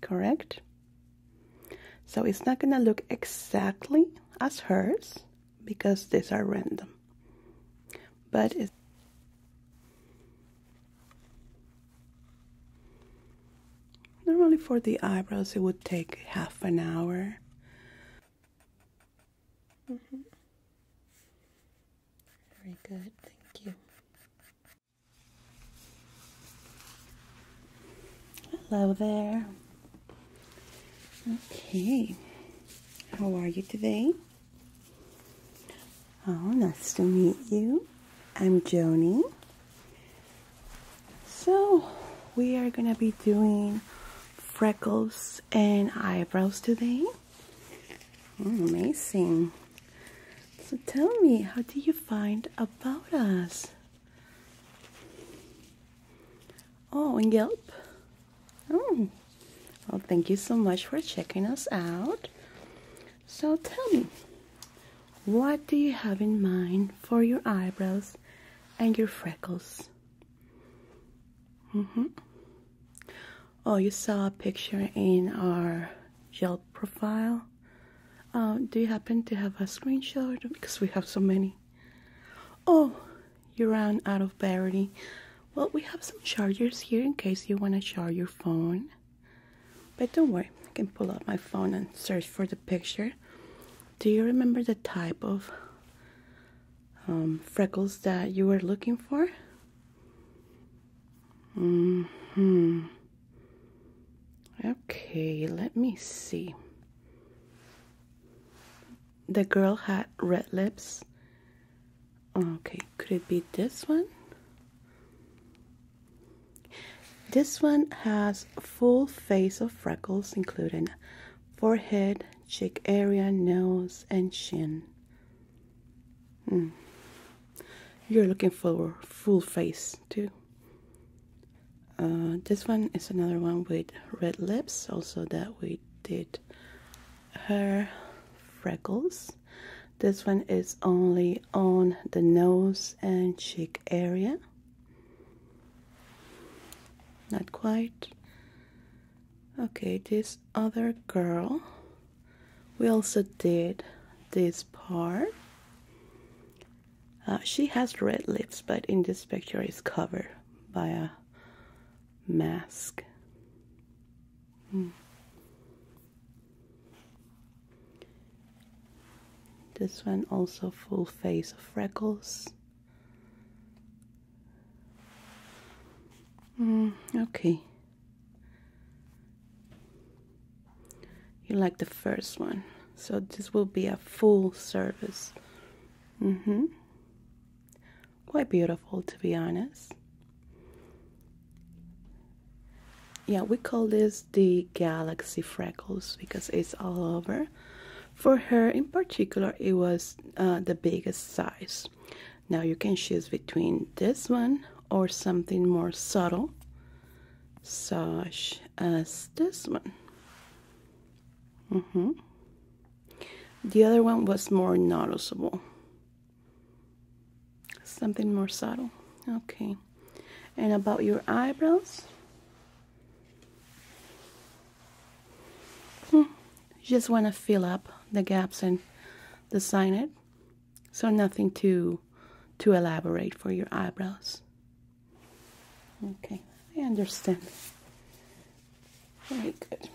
correct? So it's not going to look exactly as hers because these are random. But it's normally for the eyebrows it would take half an hour. Mm-hmm. Very good, thank you. Hello there. Okay. How are you today? Oh, nice to meet you. I'm Joanie. So, we are going to be doing freckles and eyebrows today. Oh, amazing. So tell me, how do you find about us? Oh, on Yelp. Oh, well, thank you so much for checking us out. So tell me, what do you have in mind for your eyebrows and your freckles? Mm -hmm. Oh, you saw a picture in our Yelp profile uh, do you happen to have a screenshot? Because we have so many. Oh, you ran out of battery. Well, we have some chargers here in case you want to charge your phone. But don't worry, I can pull out my phone and search for the picture. Do you remember the type of um, freckles that you were looking for? hmm. Okay, let me see. The girl had red lips. Okay, could it be this one? This one has full face of freckles including forehead, cheek area, nose, and chin. Hmm. You're looking for full face too. Uh, this one is another one with red lips, also that we did her freckles. This one is only on the nose and cheek area. Not quite. Okay, this other girl, we also did this part uh, she has red lips, but in this picture is covered by a mask. Hmm. This one also full face of freckles. Hmm, okay you like the first one so this will be a full service mm-hmm quite beautiful to be honest yeah we call this the galaxy freckles because it's all over for her in particular it was uh, the biggest size now you can choose between this one or something more subtle Sash as this one. Mm-hmm. The other one was more noticeable. Something more subtle. Okay. And about your eyebrows? Hmm. just want to fill up the gaps and design it. So nothing to to elaborate for your eyebrows. Okay, I understand. Very good.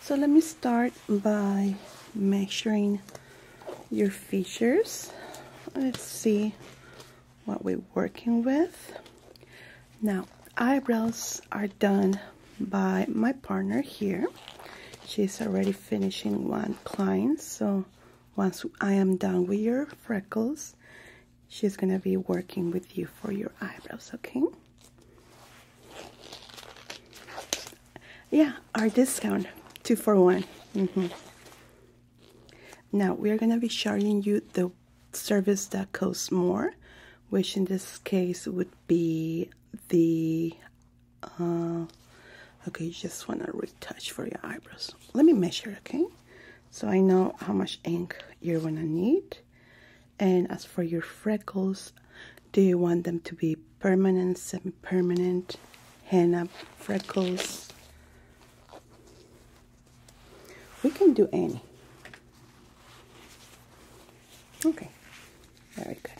So let me start by measuring your features. Let's see what we're working with. Now, eyebrows are done by my partner here. She's already finishing one client, so once I am done with your freckles, she's gonna be working with you for your eyebrows, okay? Yeah, our discount, two for one. Mm-hmm. Now, we are gonna be charging you the service that costs more, which in this case would be the uh, okay you just want to retouch for your eyebrows let me measure okay so i know how much ink you're gonna need and as for your freckles do you want them to be permanent semi-permanent henna freckles we can do any okay very good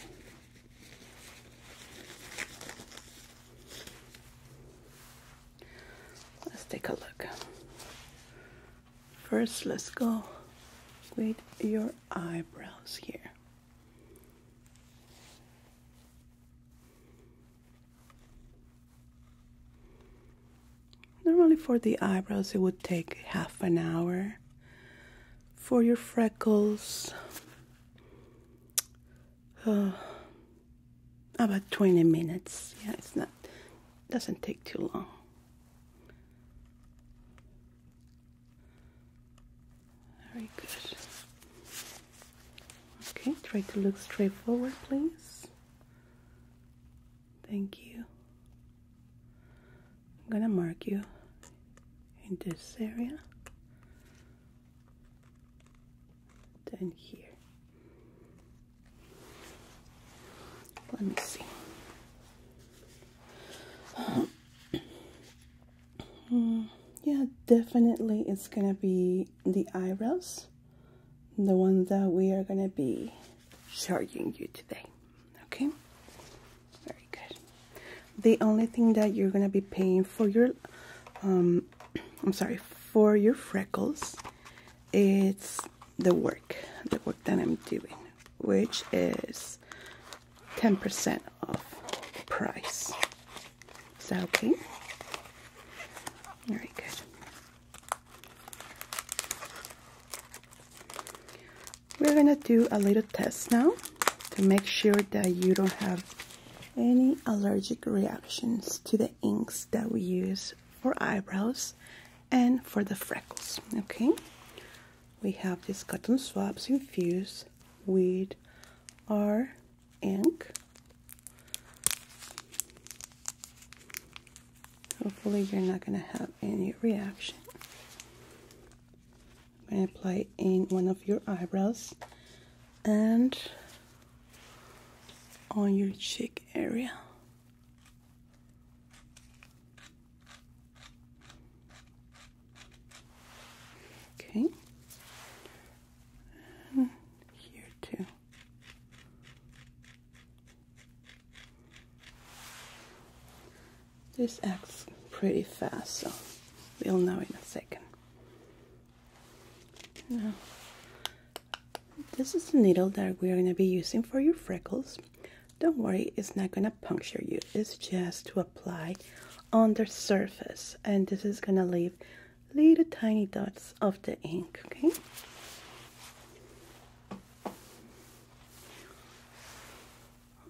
Let's take a look. First, let's go with your eyebrows here. Normally for the eyebrows it would take half an hour. For your freckles, about 20 minutes. Yeah, it's not, doesn't take too long. Very good. Okay, try to look straight forward, please. Thank you. I'm gonna mark you in this area down here. Let me see. yeah, definitely it's gonna be the eyebrows, the ones that we are gonna be showing you today. Okay, very good. The only thing that you're gonna be paying for your um, I'm sorry, for your freckles, it's the work, the work that I'm doing, which is 10% off price. Is that okay? All right, good. We're gonna do a little test now to make sure that you don't have any allergic reactions to the inks that we use for eyebrows and for the freckles. Okay, we have these cotton swabs infused with our ink. Hopefully, you're not going to have any reaction. I'm going to apply in one of your eyebrows and on your cheek area. Okay. And here too. This acts pretty fast, so we'll know in a second. Now, this is the needle that we're going to be using for your freckles. Don't worry, it's not going to puncture you. It's just to apply on the surface. And this is going to leave little tiny dots of the ink, okay?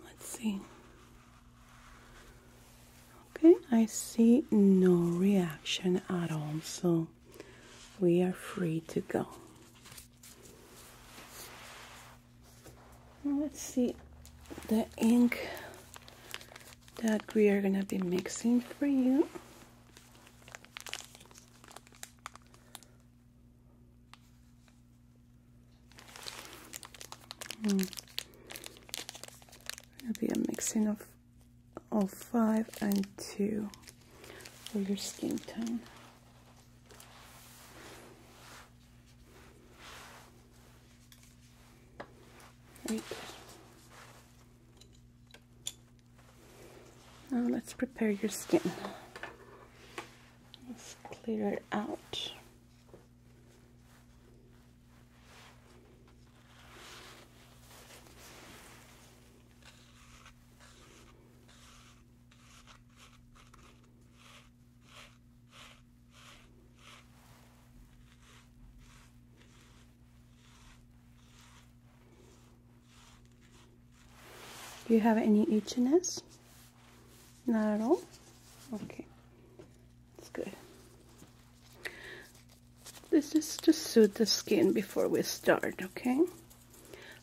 Let's see. Okay, I see no reaction at all, so we are free to go. Let's see the ink that we are gonna be mixing for you. It'll hmm. be a mixing of Oh, five and 2 for your skin tone. Very Now let's prepare your skin. Let's clear it out. Do you have any itchiness? Not at all? Okay, that's good. This is to soothe the skin before we start, okay?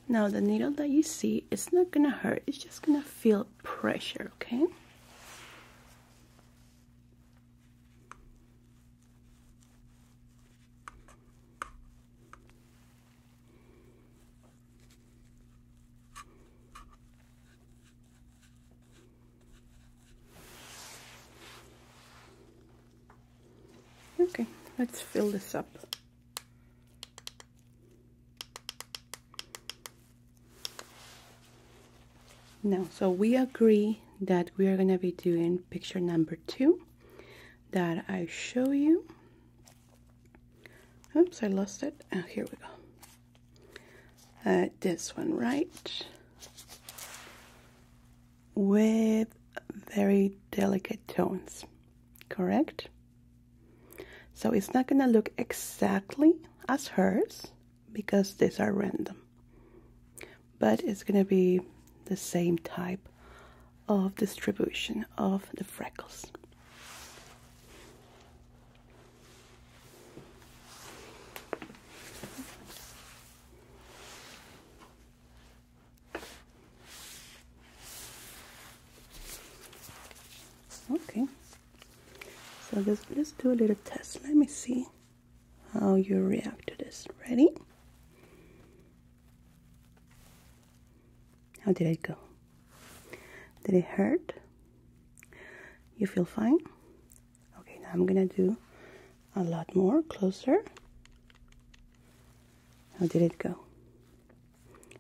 Now the needle that you see, it's not gonna hurt, it's just gonna feel pressure, okay? Okay, let's fill this up. Now, so we agree that we are going to be doing picture number two that I show you. Oops, I lost it. Oh, here we go. Uh, this one, right? with very delicate tones, correct? So it's not going to look exactly as hers because these are random, but it's going to be the same type of distribution of the freckles. Okay. So let's let's do a little test. Let me see how you react to this. Ready? How did it go? Did it hurt? You feel fine? Okay, now I'm gonna do a lot more closer. How did it go?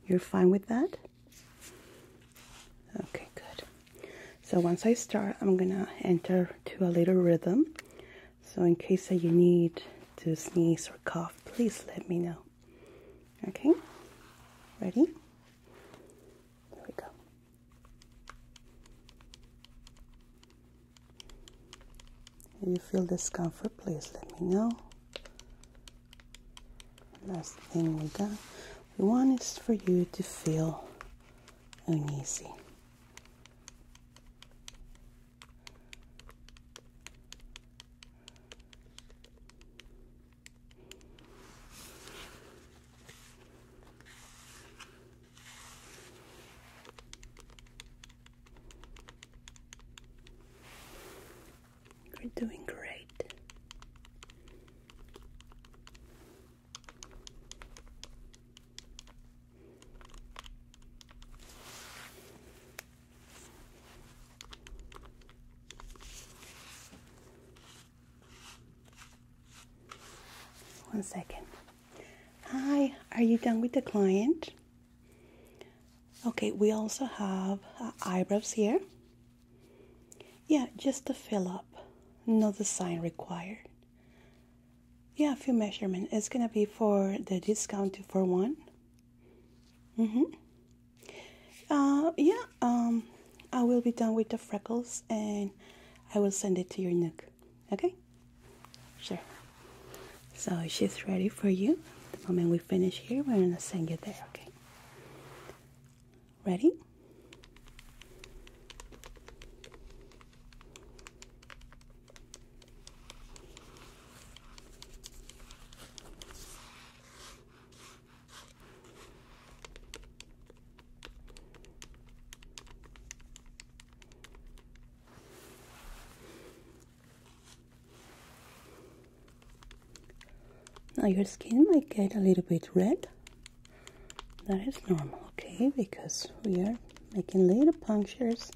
You're fine with that? Okay, good. So once I start, I'm gonna enter to a little rhythm. So in case that you need to sneeze or cough, please let me know. Okay, ready? Here we go. If you feel discomfort, please let me know. Last thing we got, we want is for you to feel uneasy. You're doing great. One second. Hi, are you done with the client? Okay, we also have uh, eyebrows here. Yeah, just to fill up, no design required. Yeah, a few measurements. It's gonna be for the discount for one. Mm-hmm. Uh, yeah, um, I will be done with the freckles and I will send it to your nook. Okay? Sure. So she's ready for you. The moment we finish here, we're gonna send you there, okay? Ready? Now your skin might get a little bit red. That is normal, okay? Because we are making little punctures.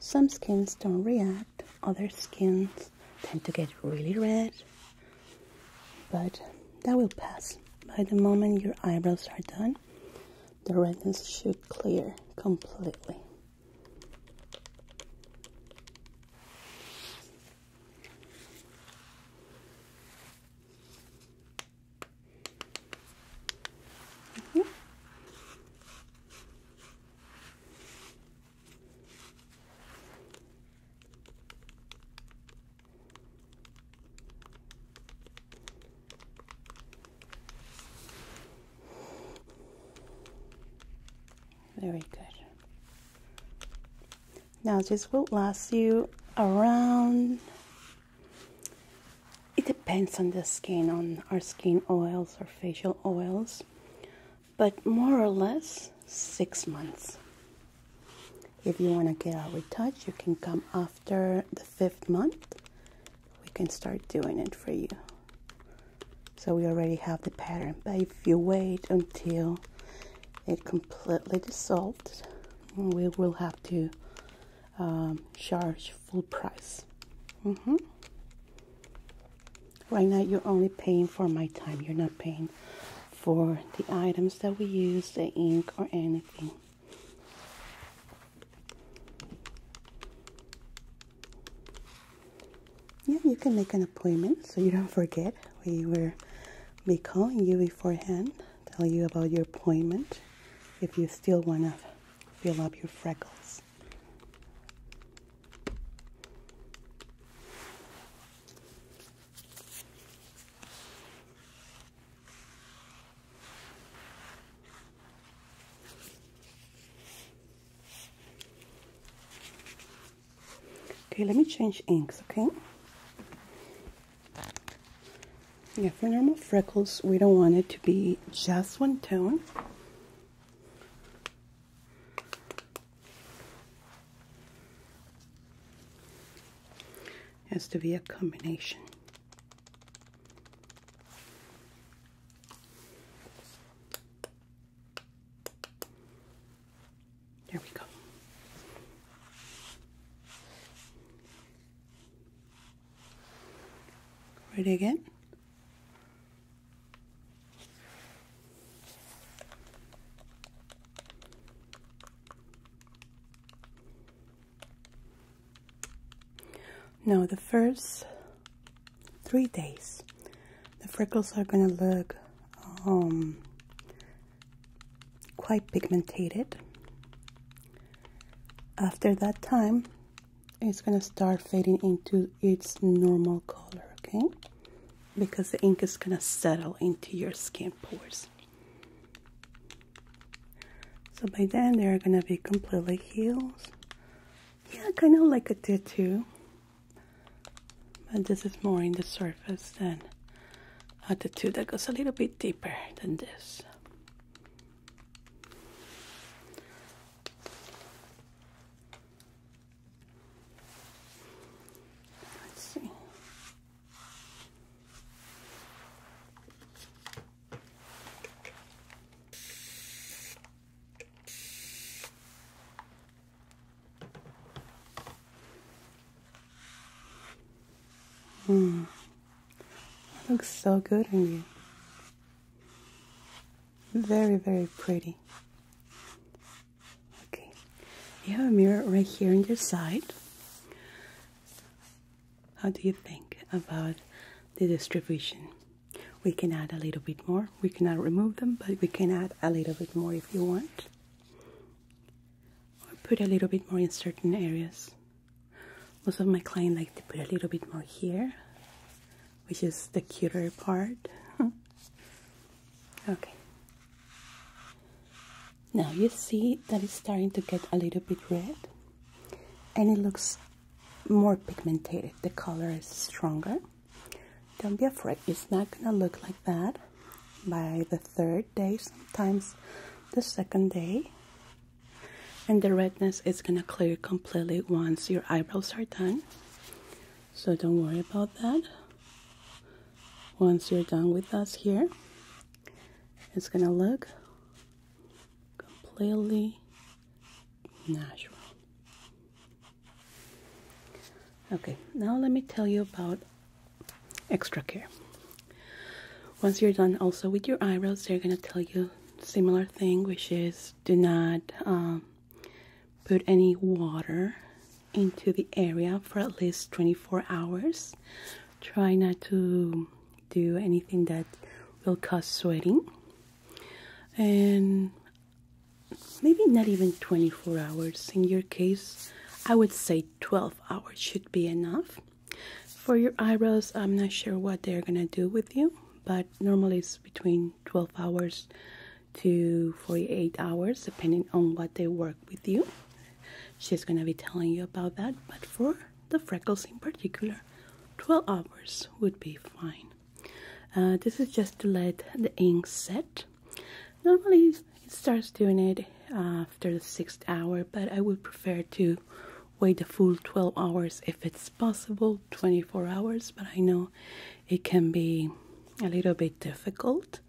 Some skins don't react, other skins tend to get really red. But that will pass by the moment your eyebrows are done the redness should clear completely. Mm-hmm. Very good. Now this will last you around it depends on the skin, on our skin oils or facial oils, but more or less six months. If you want to get a retouch, you can come after the fifth month we can start doing it for you. So we already have the pattern, but if you wait until it completely dissolves, we will have to um, charge full price. Mm-hmm. Right now, you're only paying for my time. You're not paying for the items that we use, the ink, or anything. Yeah, you can make an appointment so you don't forget. We will be calling you beforehand, tell you about your appointment if you still want to fill up your freckles. Okay, let me change inks, okay? Yeah, for normal freckles, we don't want it to be just one tone. has to be a combination. There we go. Ready again? Now the first three days, the freckles are gonna look um, quite pigmented. After that time, it's gonna start fading into its normal color, okay? Because the ink is gonna settle into your skin pores. So by then, they're gonna be completely healed yeah, kind of like a tattoo. But this is more in the surface than a tattoo that goes a little bit deeper than this. Let's see. Hmm. That looks so good on you. Very, very pretty. Okay. You have a mirror right here on your side. How do you think about the distribution? We can add a little bit more. We cannot remove them, but we can add a little bit more if you want. Or put a little bit more in certain areas. Most of my clients like to put a little bit more here, which is the cuter part. okay. Now you see that it's starting to get a little bit red and it looks more pigmented, the color is stronger. Don't be afraid, it's not gonna look like that by the third day, sometimes the second day. And the redness is gonna clear completely once your eyebrows are done. So don't worry about that. Once you're done with us here, it's gonna look completely natural. Okay, now let me tell you about extra care. Once you're done also with your eyebrows, they're going to tell you similar thing, which is do not um, put any water into the area for at least 24 hours. Try not to do anything that will cause sweating and maybe not even 24 hours in your case i would say 12 hours should be enough for your eyebrows i'm not sure what they're gonna do with you but normally it's between 12 hours to 48 hours depending on what they work with you she's gonna be telling you about that but for the freckles in particular 12 hours would be fine uh, this is just to let the ink set. Normally it starts doing it after the sixth hour, but I would prefer to wait the full 12 hours if it's possible, 24 hours, but I know it can be a little bit difficult.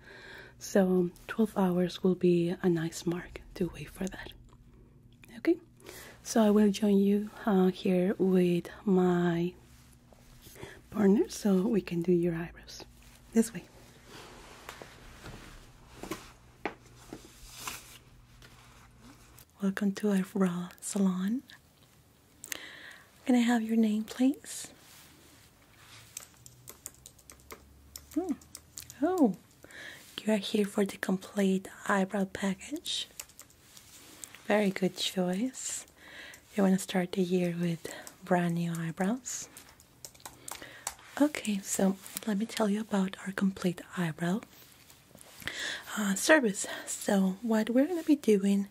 So 12 hours will be a nice mark to wait for that. Okay. So I will join you uh, here with my partner so we can do your eyebrows. This way. Welcome to our raw salon. Can I have your name, please? Hmm. Oh, you are here for the complete eyebrow package. Very good choice. You want to start the year with brand new eyebrows. Okay, so let me tell you about our complete eyebrow uh, service. So, what we're going to be doing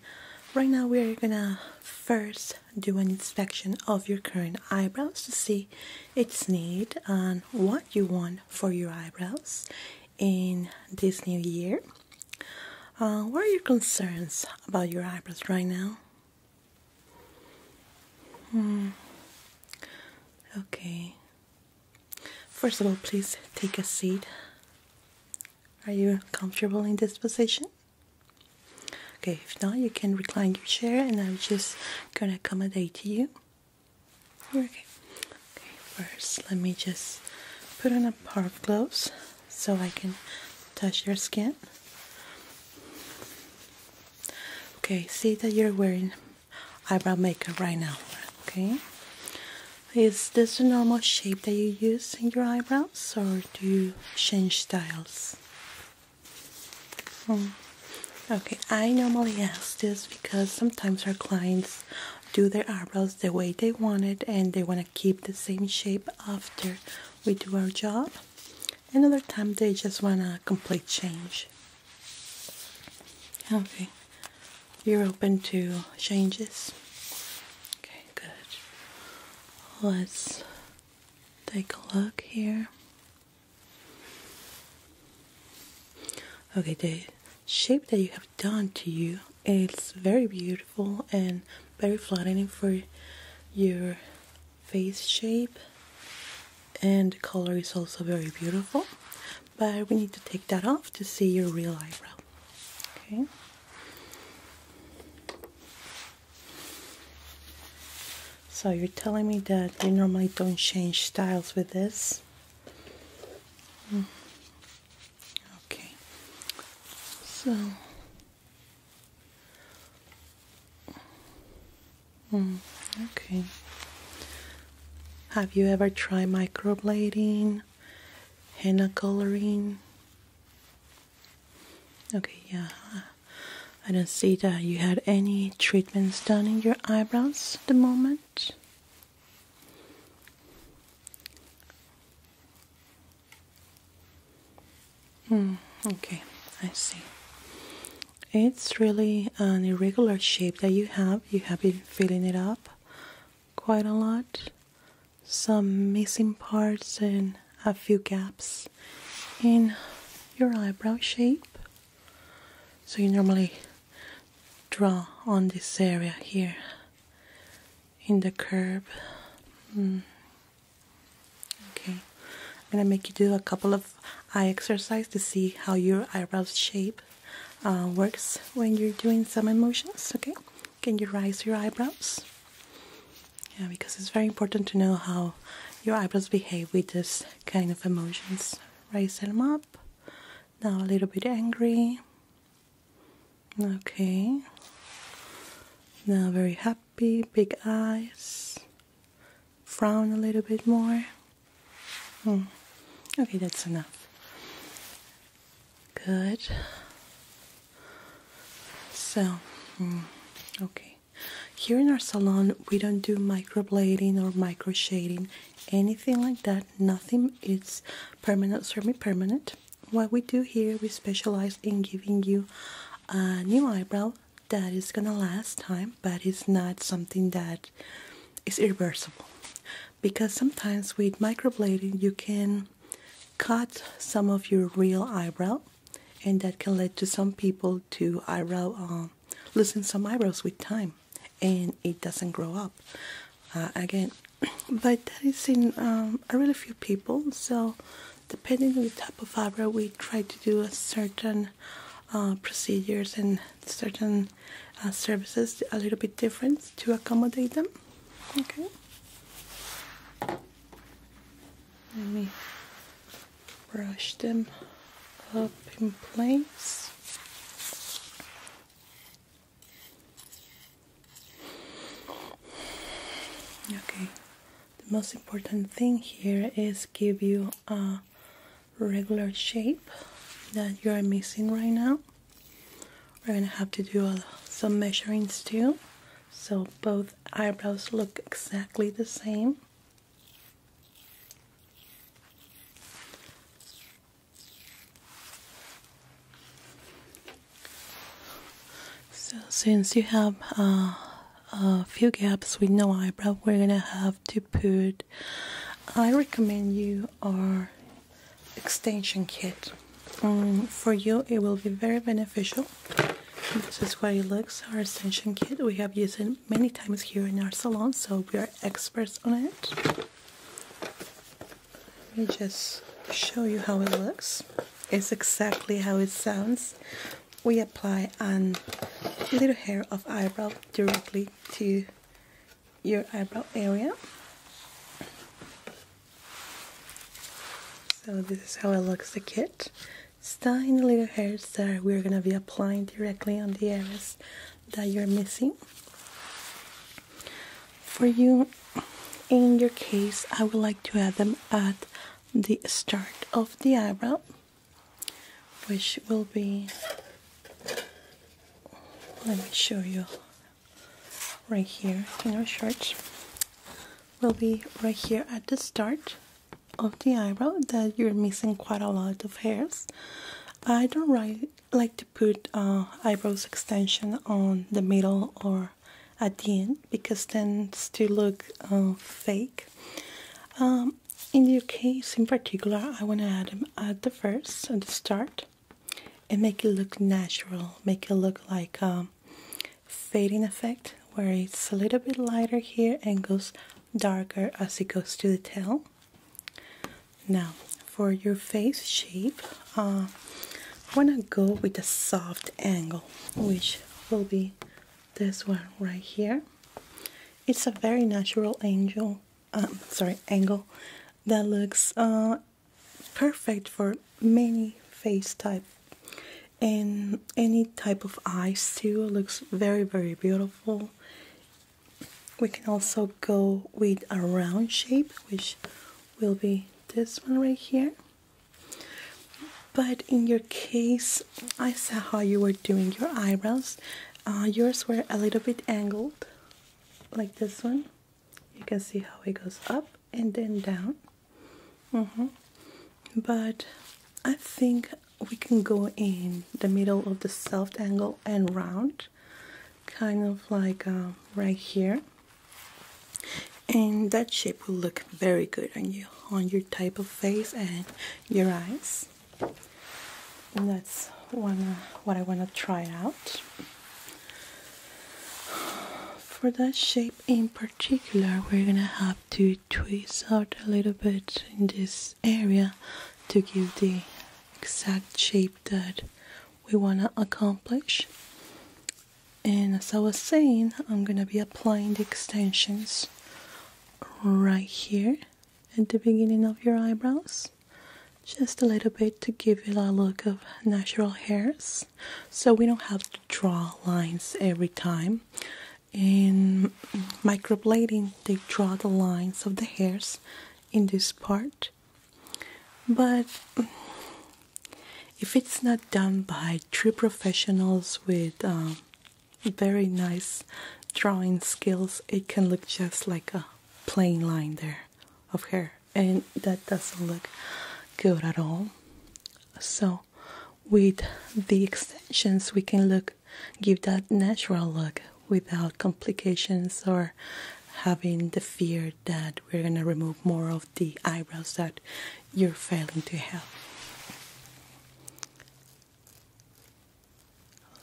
right now, we're going to first do an inspection of your current eyebrows to see its need and what you want for your eyebrows in this new year. Uh, what are your concerns about your eyebrows right now? Hmm. Okay. First of all, please take a seat. Are you comfortable in this position? Okay, if not, you can recline your chair and I'm just gonna accommodate you. okay. Okay, first let me just put on a pair of gloves so I can touch your skin. Okay, see that you're wearing eyebrow makeup right now. Okay, is this the normal shape that you use in your eyebrows, or do you change styles? Hmm. Okay, I normally ask this because sometimes our clients do their eyebrows the way they want it and they want to keep the same shape after we do our job. Another time they just want a complete change. Okay, you're open to changes. Okay, good. Let's take a look here. Okay, the shape that you have done to you it's very beautiful and very flattering for your face shape and the color is also very beautiful but we need to take that off to see your real eyebrow okay so you're telling me that you normally don't change styles with this mm. Okay, so mm, okay. Have you ever tried microblading, henna coloring? Okay, yeah. I don't see that you had any treatments done in your eyebrows at the moment. Mm, okay, I see. It's really an irregular shape that you have. You have been filling it up quite a lot. Some missing parts and a few gaps in your eyebrow shape. So you normally draw on this area here in the curve. Hmm. Okay, I'm gonna make you do a couple of eye exercise to see how your eyebrows shape uh, works when you're doing some emotions. Okay, can you raise your eyebrows? Yeah, because it's very important to know how your eyebrows behave with this kind of emotions. Raise them up. Now a little bit angry. Okay. Now, very happy, big eyes. Frown a little bit more. Hmm. Okay, that's enough. Good. So, hmm, okay. Here in our salon, we don't do microblading or micro shading, anything like that. Nothing. is permanent, semi permanent what we do here, we specialize in giving you a new eyebrow that is gonna last time, but it's not something that is irreversible. Because sometimes with microblading, you can cut some of your real eyebrow, and that can lead to some people to eyebrow uh, losing some eyebrows with time, and it doesn't grow up. Uh, again, but that is in um, a really few people. So, depending on the type of fibro, we try to do a certain uh, procedures and certain uh, services a little bit different to accommodate them. Okay. Let me brush them up in place. Okay, the most important thing here is give you a regular shape that you are missing right now. We're gonna have to do some measurements too, so both eyebrows look exactly the same. So since you have uh, a few gaps with no eyebrow, we're gonna have to put. I recommend you our extension kit. Um, for you, it will be very beneficial. This is what it looks. Our extension kit. We have used it many times here in our salon, so we are experts on it. Let me just show you how it looks. It's exactly how it sounds. We apply a little hair of eyebrow directly to your eyebrow area. So this is how it looks the kit. It's tiny little hairs that we're gonna be applying directly on the areas that you're missing for you in your case i would like to add them at the start of the eyebrow which will be let me show you right here in our shorts will be right here at the start of the eyebrow that you're missing quite a lot of hairs I don't really like to put uh, eyebrows extension on the middle or at the end because tends to look uh, fake. Um, in your case, in particular, I want to add uh, the first, at the start, and make it look natural, make it look like a um, fading effect where it's a little bit lighter here and goes darker as it goes to the tail. Now, for your face shape, I uh, want to go with a soft angle which will be this one right here it's a very natural angle, um, sorry angle that looks uh, perfect for many face type and any type of eyes too looks very very beautiful we can also go with a round shape which will be this one right here but in your case, I saw how you were doing your eyebrows. Uh, yours were a little bit angled, like this one. You can see how it goes up and then down. -hmm. But I think we can go in the middle of the soft angle and round, kind of like uh, right here and that shape will look very good on you on your type of face and your eyes and that's what I want to try out for that shape in particular we're gonna have to twist out a little bit in this area to give the exact shape that we want to accomplish and as I was saying I'm gonna be applying the extensions right here at the beginning of your eyebrows just a little bit to give it a look of natural hairs so we don't have to draw lines every time in microblading they draw the lines of the hairs in this part but if it's not done by true professionals with um, very nice drawing skills, it can look just like a plain line there of hair, and that doesn't look good at all. So, with the extensions, we can look give that natural look without complications or having the fear that we're going to remove more of the eyebrows that you're failing to have.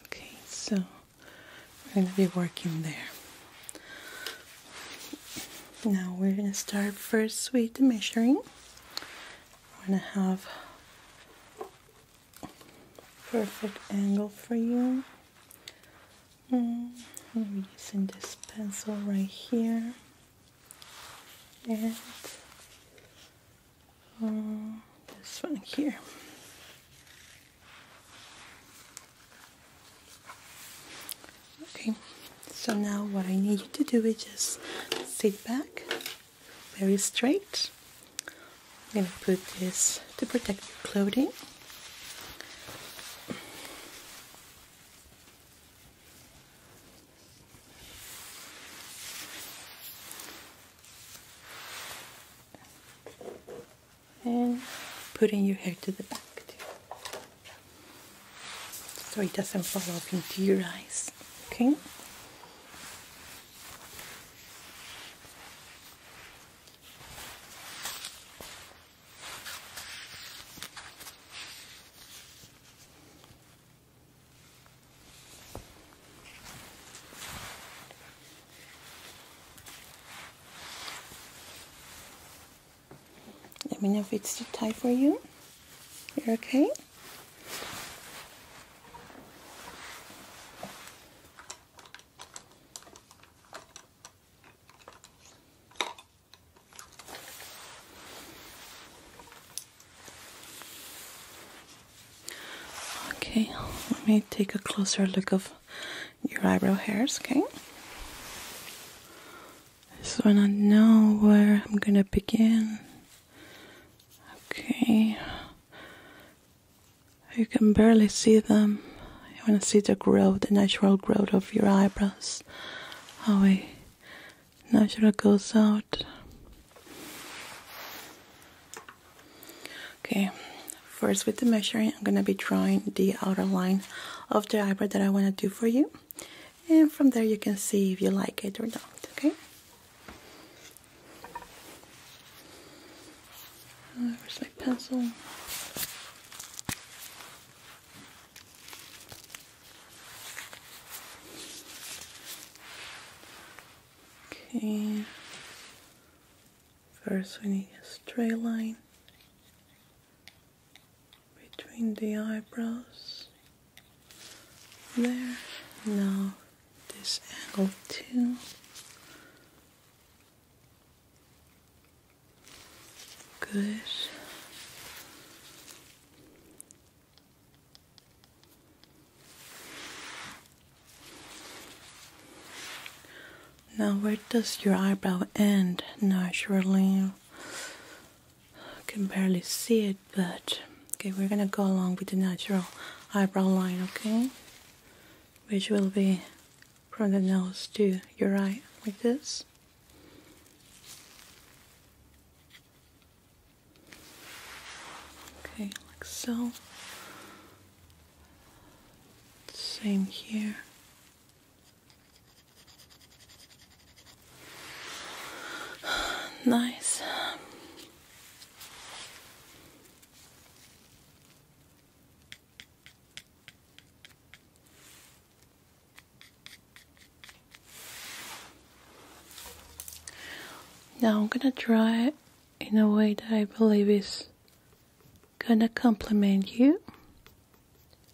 Okay, so we're going to be working there. Now we're going to start first with the measuring. I'm going to have perfect angle for you. Mm, I'm using this pencil right here and uh, this one here. Okay, so now what I need you to do is just sit back very straight. I'm going to put this to protect your clothing and putting your hair to the back so it doesn't fall up into your eyes okay let me know if it's too tight for you. You're okay? Okay, let me take a closer look of your eyebrow hairs, okay? So I don't know where I'm gonna begin. Okay. You can barely see them. You wanna see the growth, the natural growth of your eyebrows. How we Nashra goes out. Okay, first with the measuring, I'm gonna be drawing the outer line of the eyebrow that I wanna do for you. And from there you can see if you like it or not, okay? Where's my pencil? Okay, first we need a straight line between the eyebrows. There, now this angle too. Good. Now, where does your eyebrow end naturally? I can barely see it, but okay, we're gonna go along with the natural eyebrow line, okay? Which will be from the nose to your eye, like this. Okay, like so. Same here. nice. Now I'm gonna try it in a way that I believe is gonna complement you,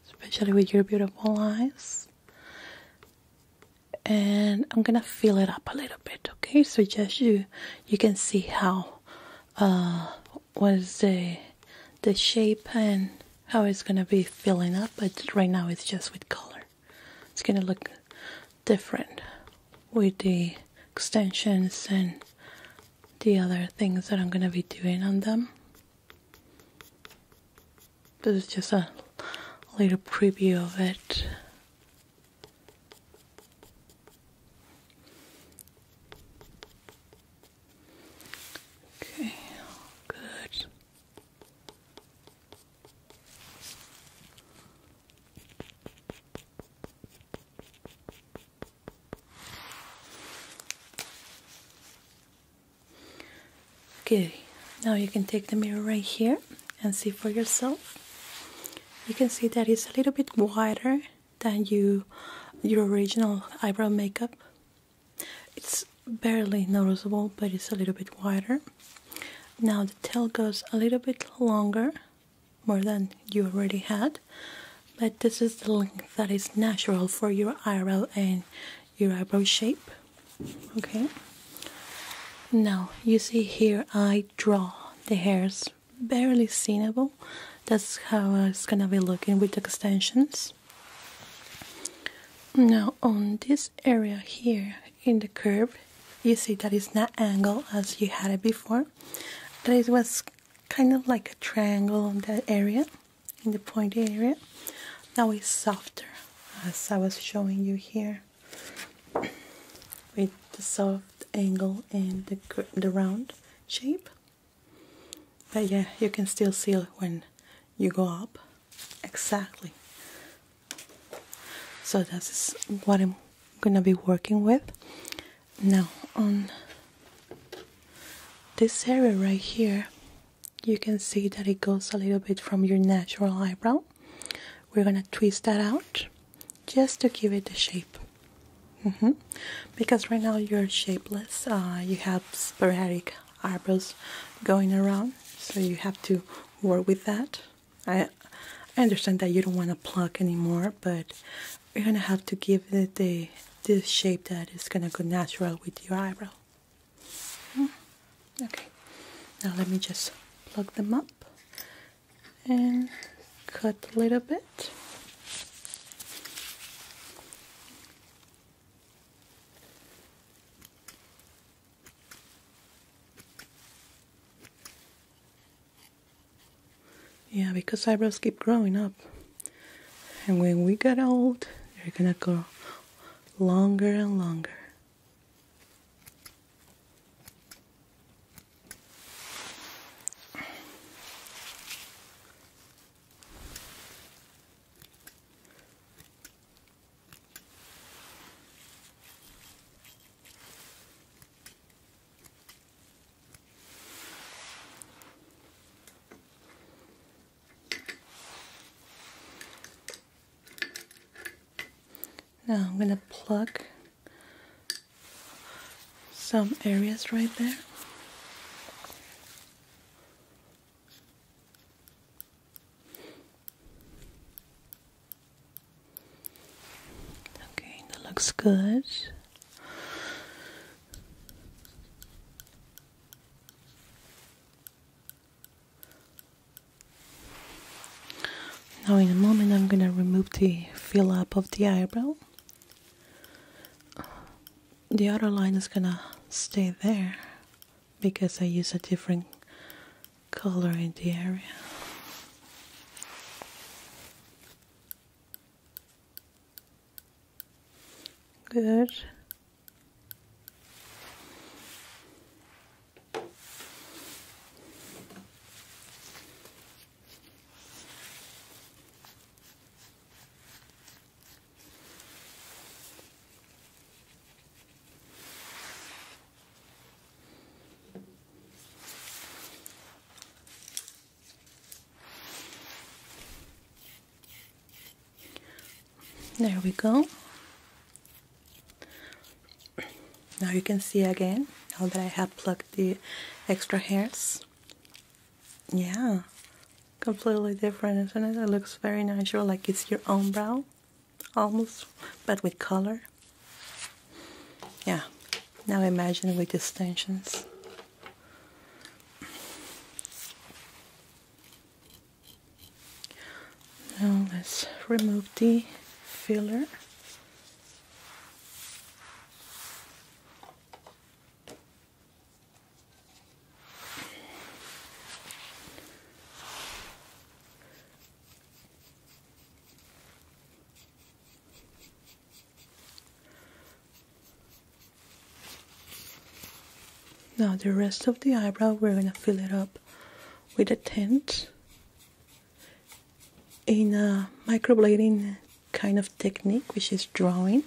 especially with your beautiful eyes. And I'm gonna fill it up a little bit, okay? So just you, you can see how uh, what is the the shape and how it's gonna be filling up, but right now it's just with color. It's gonna look different with the extensions and the other things that I'm gonna be doing on them. This is just a little preview of it. Okay, good. Okay, now you can take the mirror right here and see for yourself. You can see that it's a little bit wider than you your original eyebrow makeup it's barely noticeable, but it's a little bit wider. Now the tail goes a little bit longer, more than you already had, but this is the length that is natural for your eyebrow and your eyebrow shape. Okay. Now you see here I draw the hairs barely seenable. That's how it's gonna be looking with the extensions. Now on this area here in the curve you see that it's not angle as you had it before but it was kind of like a triangle on that area in the pointy area now it's softer as I was showing you here with the soft angle and the, the round shape but yeah you can still see it when you go up exactly so this is what i'm gonna be working with now on this area right here you can see that it goes a little bit from your natural eyebrow we're gonna twist that out just to give it the shape mm-hmm. because right now you're shapeless uh, you have sporadic eyebrows going around, so you have to work with that. I, understand that you don't want to pluck anymore, but you're gonna have to give it the the shape that is gonna go natural with your eyebrow. Hmm? Okay, now let me just plug them up and cut a little bit. Yeah, because eyebrows keep growing up. And when we get old, they're gonna grow longer and longer. Now I'm going to plug some areas right there. Okay, that looks good. Now in a moment I'm gonna remove the fill up of the eyebrow. The outer line is gonna stay there because I use a different color in the area. Good. There we go. Now you can see again, now that I have plucked the extra hairs. Yeah, completely different, isn't it? It looks very natural, like it's your own brow almost, but with color. Yeah, now imagine with extensions. Now let's remove the filler. Now the rest of the eyebrow we're gonna fill it up with a tint in a microblading kind of technique which is drawing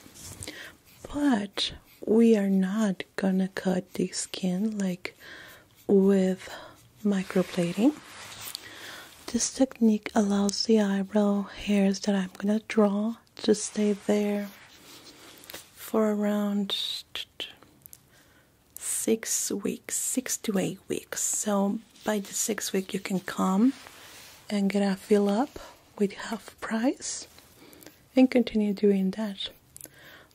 but we are not gonna cut the skin like with microplating, This technique allows the eyebrow hairs that I'm going to draw to stay there for around six weeks, six to eight weeks. So by the sixth week, you can come and get a fill up with half price and continue doing that.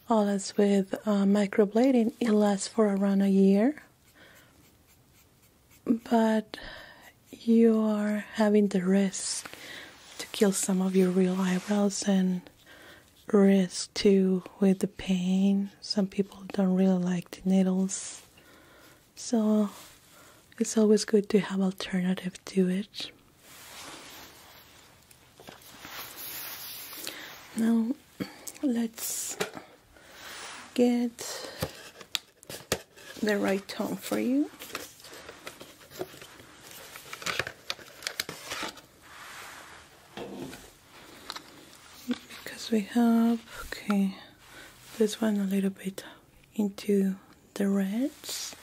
All as with uh, microblading, it lasts for around a year, but you are having the risk to kill some of your real eyebrows and risk too with the pain. Some people don't really like the needles, so it's always good to have alternative to it now let's get the right tone for you because we have okay this one a little bit into the reds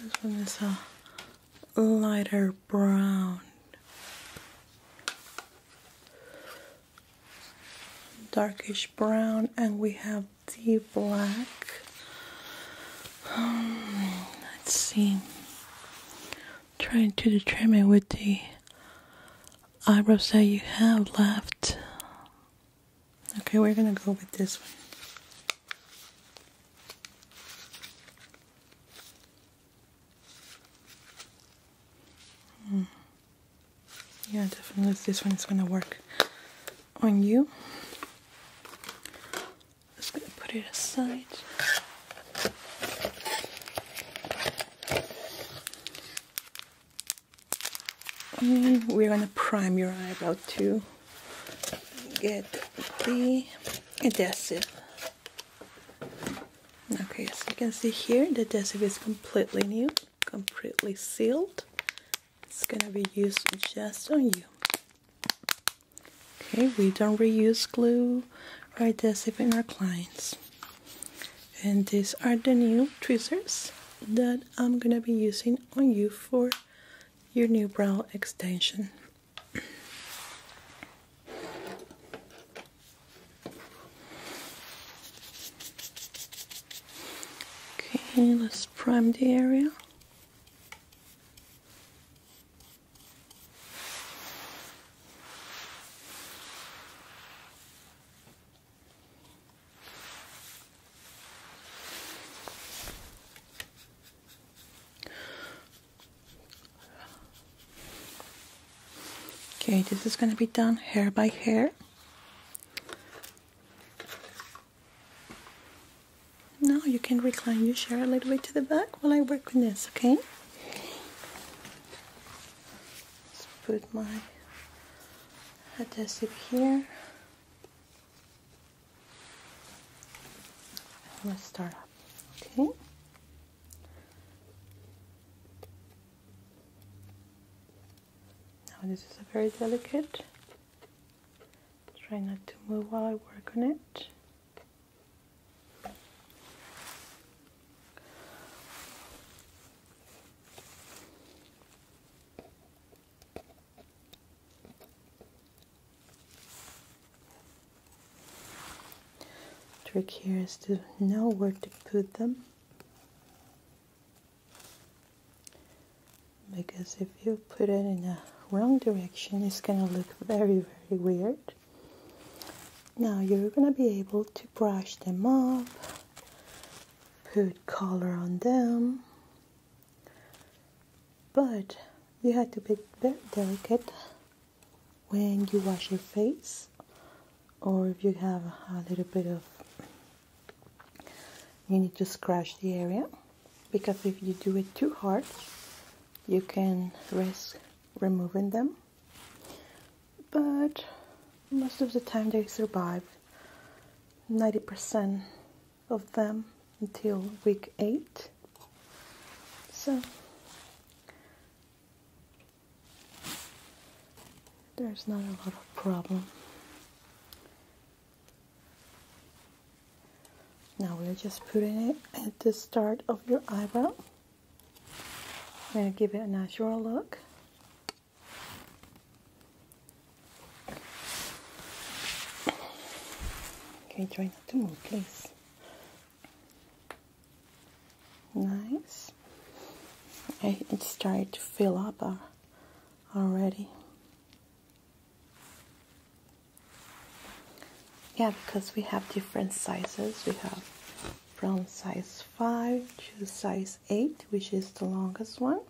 this one is a lighter brown. Darkish brown, and we have deep black. Um, let's see. trying to determine with the eyebrows that you have left. Okay, we're gonna go with this one. Mm. Yeah, definitely this one is gonna work on you. Just gonna put it aside. And we're gonna prime your eyebrow too get the adhesive. Okay, so you can see here, the adhesive is completely new, completely sealed. It's gonna be used just on you. Okay, we don't reuse glue or adhesive in our clients. And these are the new tweezers that I'm gonna be using on you for your new brow extension. Okay, let's prime the area. Okay, this is going to be done hair by hair. Now you can recline your chair a little way to the back while I work on this, okay? Let's put my adhesive here. Let's start Okay. Now this is a very delicate. Try not to move while I work on it. Trick here is to know where to put them because if you put it in a wrong direction it's gonna look very very weird now you're gonna be able to brush them up put color on them but you have to be very delicate when you wash your face or if you have a little bit of you need to scratch the area because if you do it too hard you can risk removing them but most of the time they survive 90% of them until week 8 so there's not a lot of problem now we're just putting it at the start of your eyebrow and give it a natural look can you try not to move, please? Nice. It started to fill up uh, already. Yeah, because we have different sizes. We have from size 5 to size 8, which is the longest one.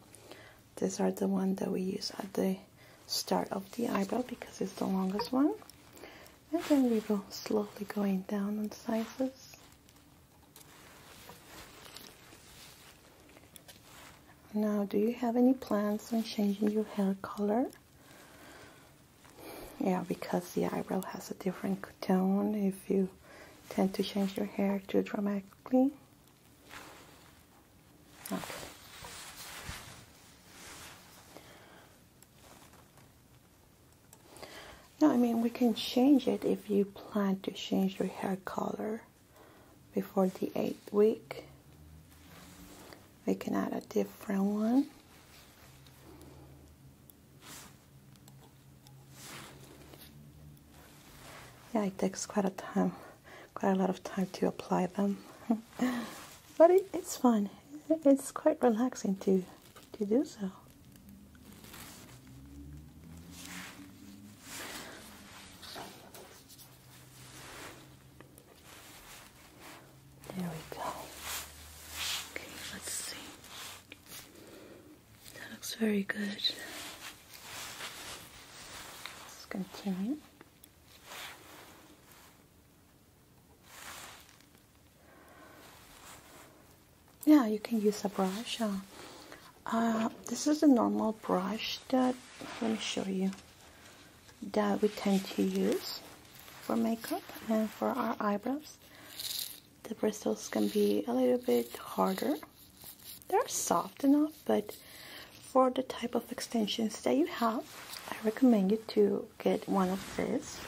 These are the ones that we use at the start of the eyebrow because it's the longest one and then we will slowly going down in sizes now do you have any plans on changing your hair color yeah because the eyebrow has a different tone if you tend to change your hair too dramatically yeah, I mean, we can change it if you plan to change your hair color before the 8th week. We can add a different one. Yeah, it takes quite a time, quite a lot of time to apply them. but it's fun. It's quite relaxing to to do so. There we go. Okay, let's see. That looks very good. Let's continue yeah you can use a brush uh, uh, this is a normal brush that let me show you that we tend to use for makeup and for our eyebrows the bristles can be a little bit harder they're soft enough but for the type of extensions that you have I recommend you to get one of these.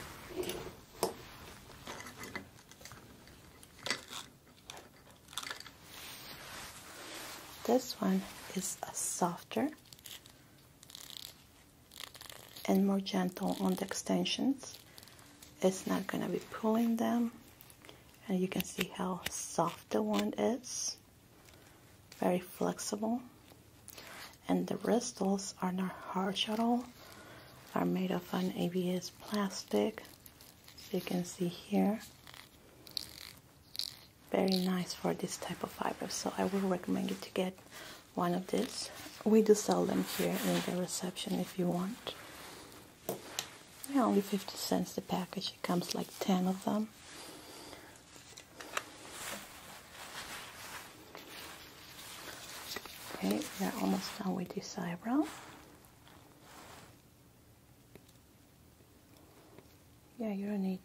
This one is softer and more gentle on the extensions. It's not going to be pulling them. And you can see how soft the one is very flexible and the bristles are not hard at all are made of an ABS plastic as you can see here very nice for this type of fiber so I would recommend you to get one of these we do sell them here in the reception if you want they only 50 cents the package it comes like 10 of them Okay, we are almost done with this eyebrow. Yeah, you don't need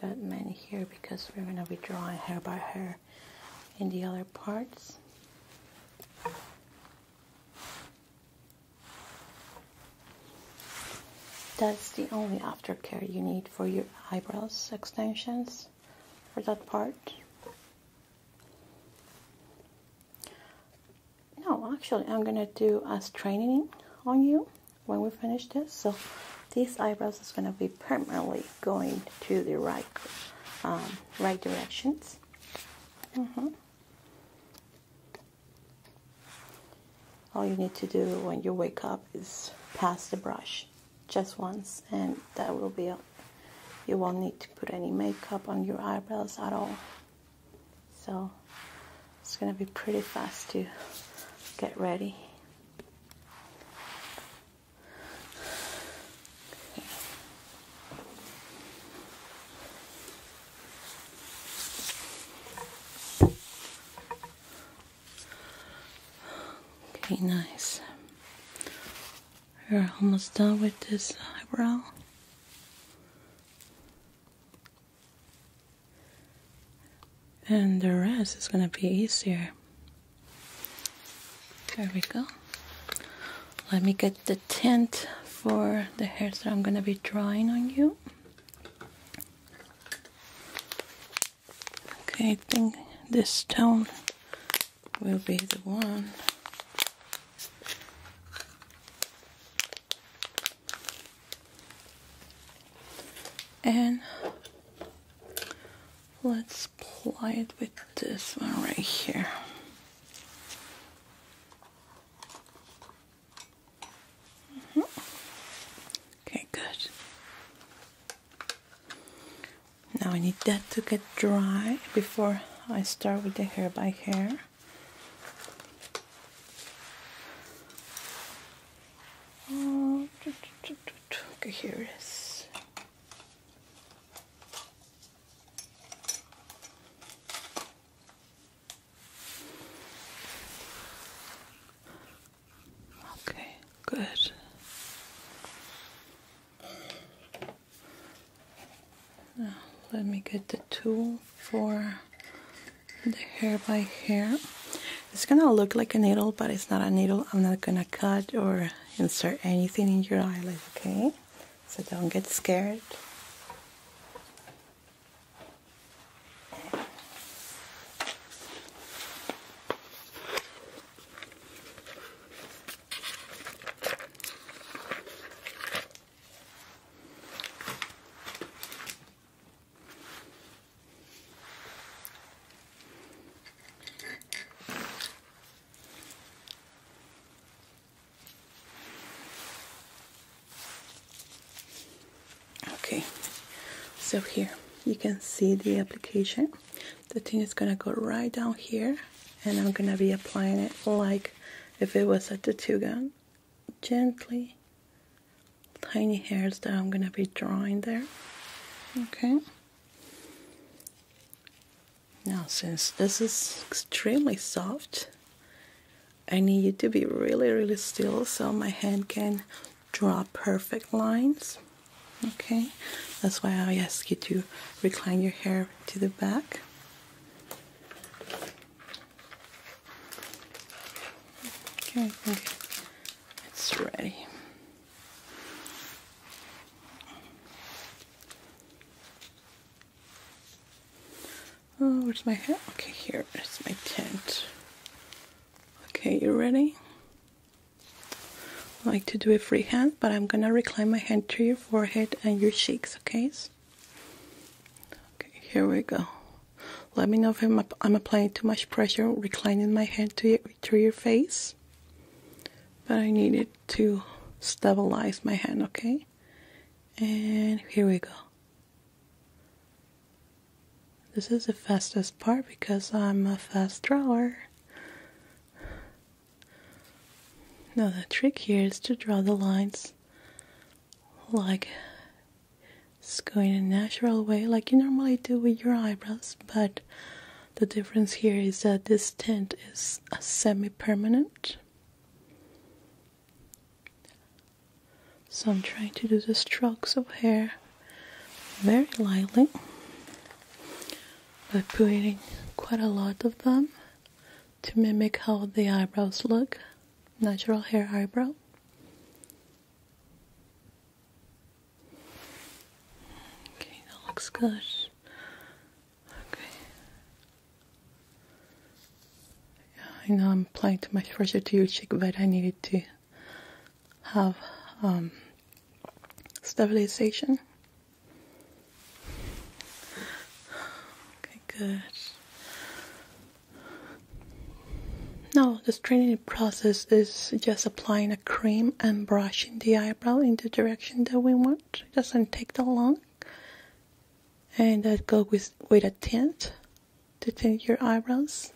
that many here because we're gonna be drawing hair by hair in the other parts. That's the only aftercare you need for your eyebrows extensions for that part. No, actually, I'm gonna do a straining on you when we finish this. So these eyebrows is gonna be permanently going to the right, um, right directions. Mm-hmm. All you need to do when you wake up is pass the brush just once and that will be it. You won't need to put any makeup on your eyebrows at all. So it's gonna be pretty fast to get ready. Okay, nice. we are almost done with this eyebrow. And the rest is gonna be easier. There we go. Let me get the tint for the hairs that I'm gonna be drawing on you. Okay, I think this stone will be the one. And let's apply it with this one right here. Mm-hmm. Okay, good. Now I need that to get dry before I start with the hair by hair. Oh, okay, here it is. Okay, good. let me get the tool for the hair by hair. It's gonna look like a needle, but it's not a needle. I'm not gonna cut or insert anything in your eyelid, okay? So don't get scared. Okay, so here you can see the application the thing is gonna go right down here and I'm gonna be applying it like if it was a tattoo gun gently tiny hairs that I'm gonna be drawing there okay now since this is extremely soft I need you to be really really still so my hand can draw perfect lines. Okay, that's why I ask you to recline your hair to the back. Okay, it's ready. Oh, where's my hair? Okay, here is my tint. Okay, you ready? I like to do a free hand, but I'm gonna recline my hand to your forehead and your cheeks, okay? Okay, here we go. Let me know if I'm, applying too much pressure, reclining my hand to your, to your face. But I need it to stabilize my hand, okay? And here we go. This is the fastest part because I'm a fast drawer. Now, the trick here is to draw the lines like it's going in a natural way, like you normally do with your eyebrows, but the difference here is that this tint is semi permanent. So I'm trying to do the strokes of hair very lightly but putting quite a lot of them to mimic how the eyebrows look natural hair eyebrow okay that looks good okay yeah, I know I'm applying too much pressure to your cheek but I needed to have um, stabilization. Okay, good. Now, the training process is just applying a cream and brushing the eyebrow in the direction that we want. It doesn't take that long. And I go with, with a tint to tint your eyebrows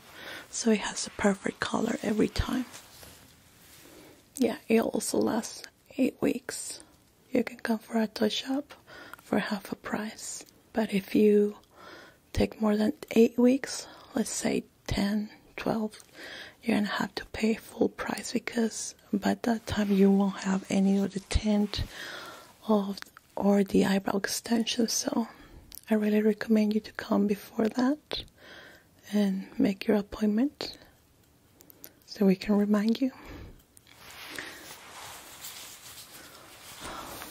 so it has a perfect color every time yeah, it also lasts eight weeks. You can come for a touch up for half a price. But if you take more than eight weeks, let's say 10, 12, you're gonna have to pay full price because by that time you won't have any of the tint of or the eyebrow extension. So I really recommend you to come before that and make your appointment so we can remind you.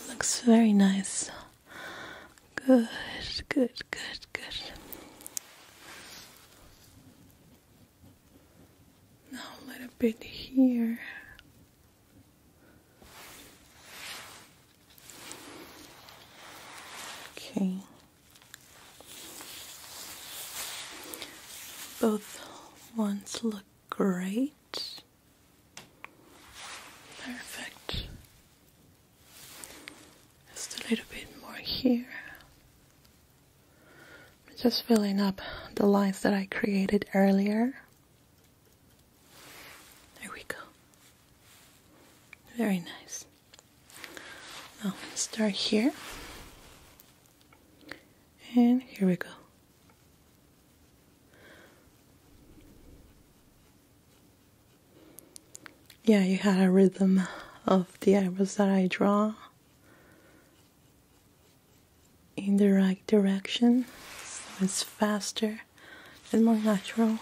Looks very nice. Good, good, good, good. Now a little bit here. Okay. Both ones look great. Perfect. Just a little bit more here. just filling up the lines that I created earlier. There we go. Very nice. Now start here. And here we go. Yeah, you had a rhythm of the arrows that I draw in the right direction. So it's faster and more natural.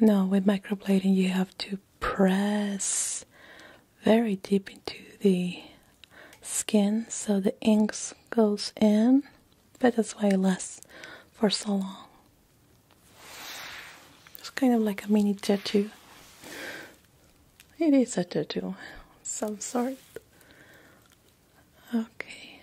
No, with microblading, you have to press very deep into the skin so the ink goes in, but that's why it lasts for so long. It's kind of like a mini tattoo. It is a tattoo, some sort. Okay,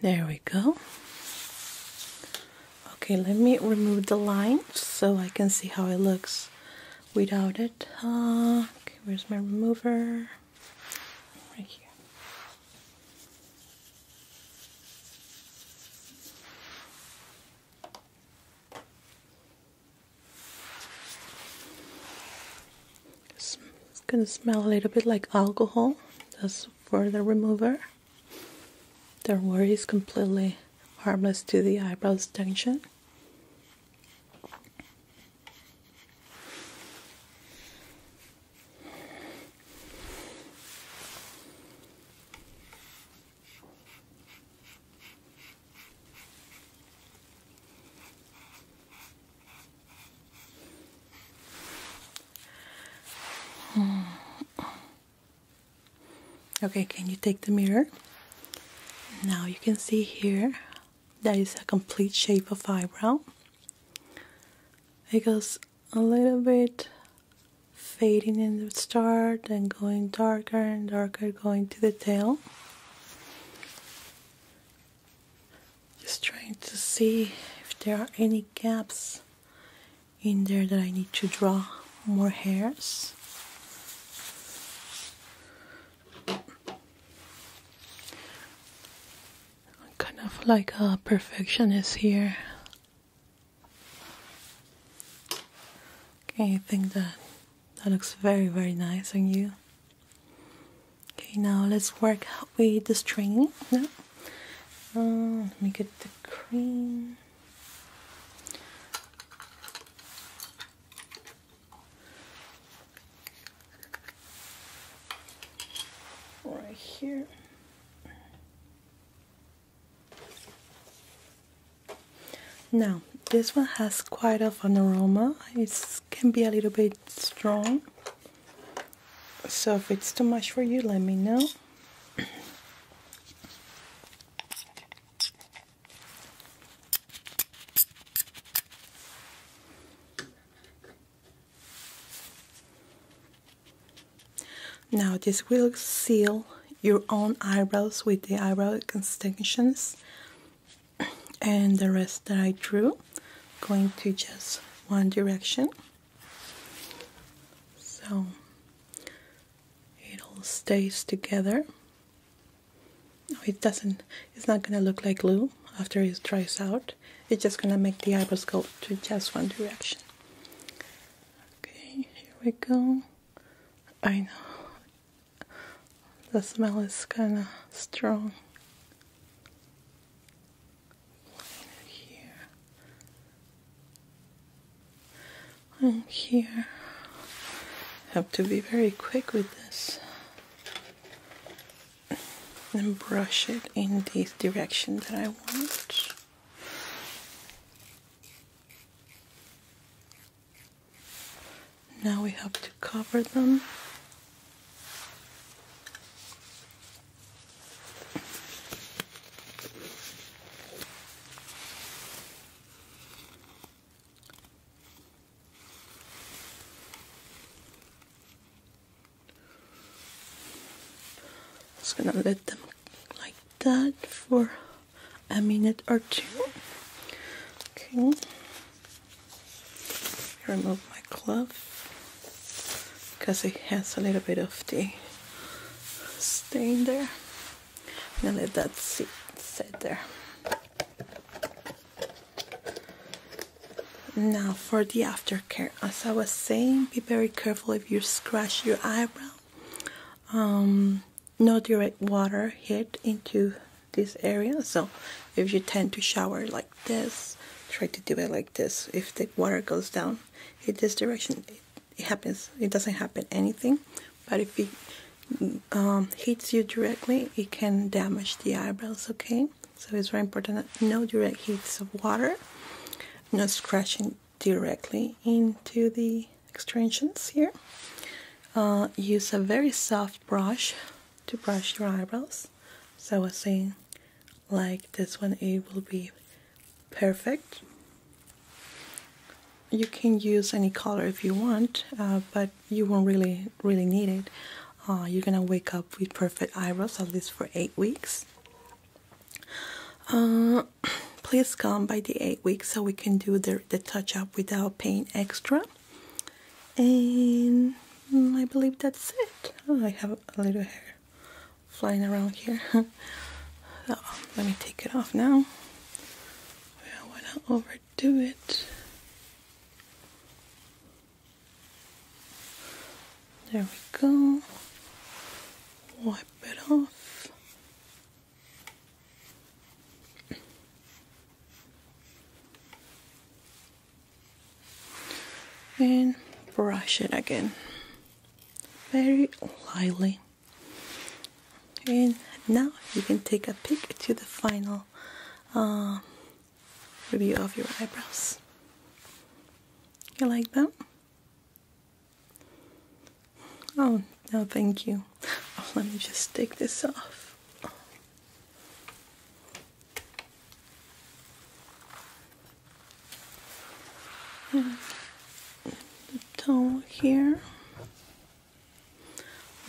There we go. Okay, let me remove the line so I can see how it looks without it. Uh, where's my remover? Right here. It's gonna smell a little bit like alcohol. That's for the remover. Don't worry, it's completely harmless to the eyebrows tension. Hmm. Okay, can you take the mirror? Now you can see here that is a complete shape of eyebrow. It goes a little bit fading in the start and going darker and darker going to the tail. Just trying to see if there are any gaps in there that I need to draw more hairs. I'm kind of like a perfectionist here. Okay, I think that that looks very, very nice on you. Okay, now let's work with the string. Now, uh, let me get the cream. Right here. Now, this one has quite of an aroma. It can be a little bit strong. So if it's too much for you, let me know. Now this will seal your own eyebrows with the eyebrow extensions and the rest that I drew going to just one direction so it all stays together it doesn't it's not gonna look like glue after it dries out it's just gonna make the eyebrows go to just one direction okay here we go I know the smell is kinda strong here, and here. Have to be very quick with this and brush it in these directions that I want. Now we have to cover them just gonna let them like that for a minute or two. Okay remove my glove because it has a little bit of the stain there. i let that sit, sit there. Now for the aftercare, as I was saying, be very careful if you scratch your eyebrow. Um, no direct water hit into this area, so if you tend to shower like this try to do it like this if the water goes down in this direction it, happens it doesn't happen anything but if it um, hits you directly it can damage the eyebrows okay so it's very important no direct hits of water no scratching directly into the extractions here uh, use a very soft brush to brush your eyebrows so I was saying like this one it will be perfect you can use any color if you want uh, but you won't really really need it uh, you're gonna wake up with perfect eyebrows at least for eight weeks uh, please come by the eight weeks so we can do the, the touch up without paying extra and Mm, I believe that's it. Oh, I have a little hair flying around here. Oh, let me take it off now. I don't want to overdo it. There we go. Wipe it off and brush it again very lightly and now you can take a peek to the final uh, review of your eyebrows you like that oh no thank you let me just take this off and the toe here.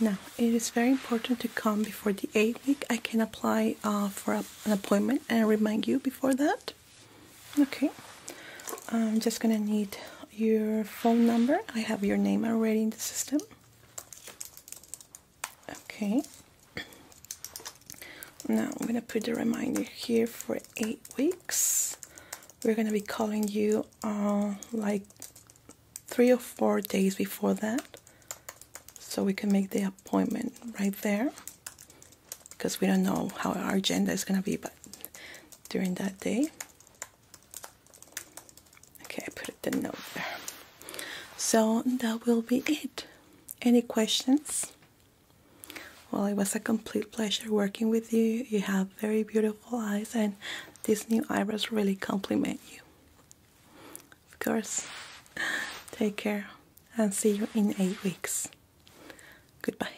Now, it is very important to come before the 8th week. I can apply uh, for an appointment and remind you before that. Okay. I'm just going to need your phone number. I have your name already in the system. Okay. Now I'm gonna put a reminder here for eight weeks. We're gonna be calling you uh, like three or four days before that, so we can make the appointment right there because we don't know how our agenda is gonna be, but during that day. Okay, I put the note there. So that will be it. Any questions? Well, it was a complete pleasure working with you. You have very beautiful eyes, and these new eyebrows really compliment you. Of course, take care and see you in eight weeks. Goodbye.